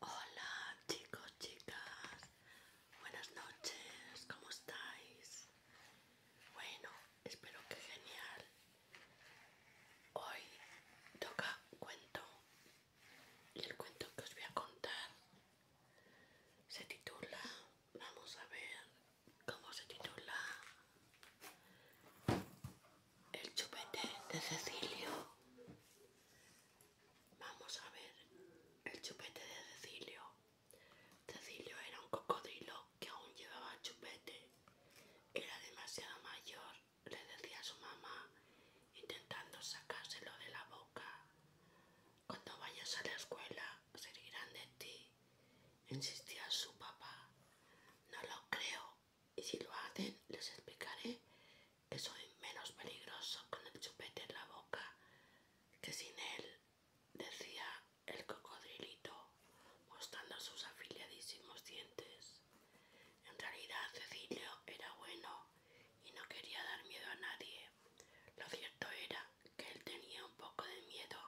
Hola chicos, chicas, buenas noches, ¿cómo estáis? Bueno, espero que genial. Hoy toca cuento y el cuento que os voy a contar se titula, vamos a ver cómo se titula, el chupete de Cecilio. Vamos a ver el chupete de Cecilio. Cecilio era un cocodrilo que aún llevaba chupete. Era demasiado mayor, le decía su mamá, intentando sacárselo de la boca. Cuando vayas a la escuela, se de ti, insistía su papá. No lo creo, y si lo hacen les explicaré que soy menos peligroso con el chupete en la boca que sin él, decía el cocodrilito, mostrando sus afiliadísimos dientes. En realidad Cecilio era bueno y no quería dar miedo a nadie. Lo cierto era que él tenía un poco de miedo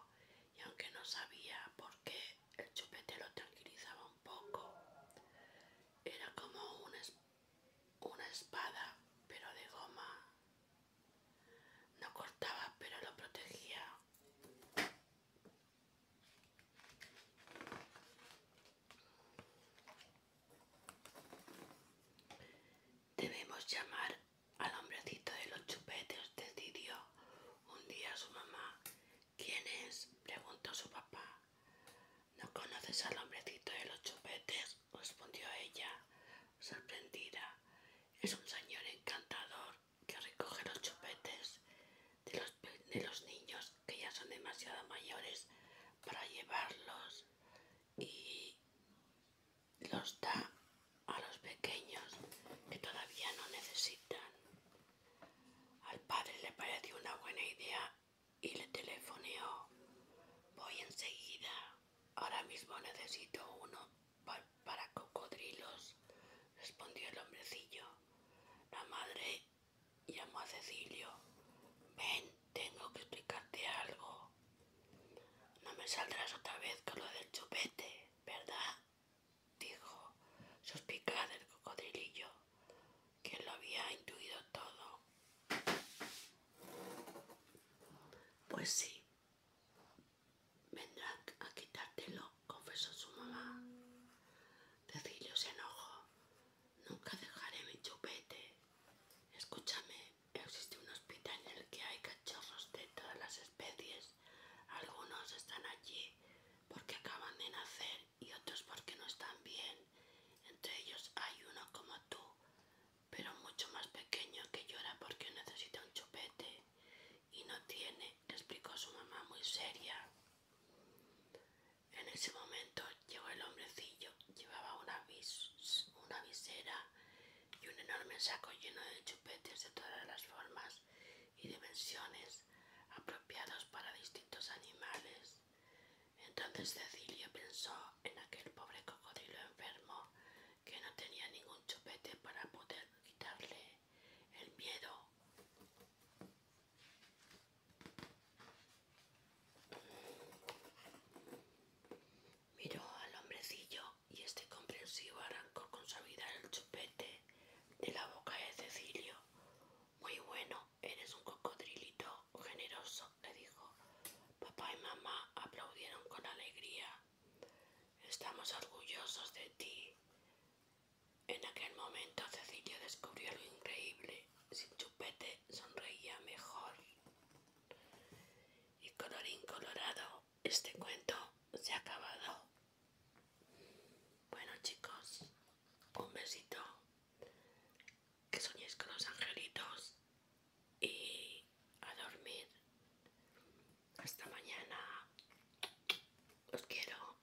y aunque no sabía por qué el chupete lo tranquilizaba un poco, era como una, una espada pero de goma. No cortaba pero lo protegía. Debemos llamar al hombrecito de los chupetes decidió un día su mamá. ¿Quién es? preguntó su papá. ¿No conoces al hombrecito de los chupetes? respondió ella, sorprendida. Es un señor encantador que recoge los chupetes de los, de los niños que ya son demasiado mayores para llevarlos y los da a los pequeños que todavía no necesitan. Al padre le pareció una buena idea y le telefoneó. Voy enseguida. Ahora mismo necesito uno para cocodrilos, respondió el hombrecillo. La madre llamó a Cecilio. Ven, tengo que explicarte algo. No me saldrás otra vez con lo del chupete, ¿verdad? Dijo, suspicada el cocodrillo, que lo había intuido todo. Pues sí, vendrán a quitártelo, confesó su mamá. Cecilio se enojó. Nunca dejaré mi chupete. Escúchame, existe un hospital en el que hay cachorros de todas las especies. Algunos están allí porque acaban de nacer y otros porque no están bien. Entre ellos hay uno como tú, pero mucho más pequeño que llora porque necesita un chupete y no tiene, le explicó su mamá muy seria. En ese momento Llegó el hombrecillo, llevaba una, una visera y un enorme saco lleno de chupetes de todas las formas y dimensiones apropiados para distintos animales. Entonces Cecilia pensó en aquel pobre cocodrilo enfermo que no tenía ningún chupete para poder quitarle el miedo. Miró al hombrecillo y este comprensivo arrancó con suavidad el chupete de la boca de Cecilio. Muy bueno, eres un cocodrilito generoso, le dijo. Papá y mamá aplaudieron con alegría. Estamos orgullosos de ti. En aquel momento Cecilio descubrió lo increíble. Sin chupete sonreía mejor. Y colorín colorado, este cuento se ha acabado. Bueno chicos, un besito. Que soñéis con los angelitos y a dormir. Hasta mañana. Os quiero.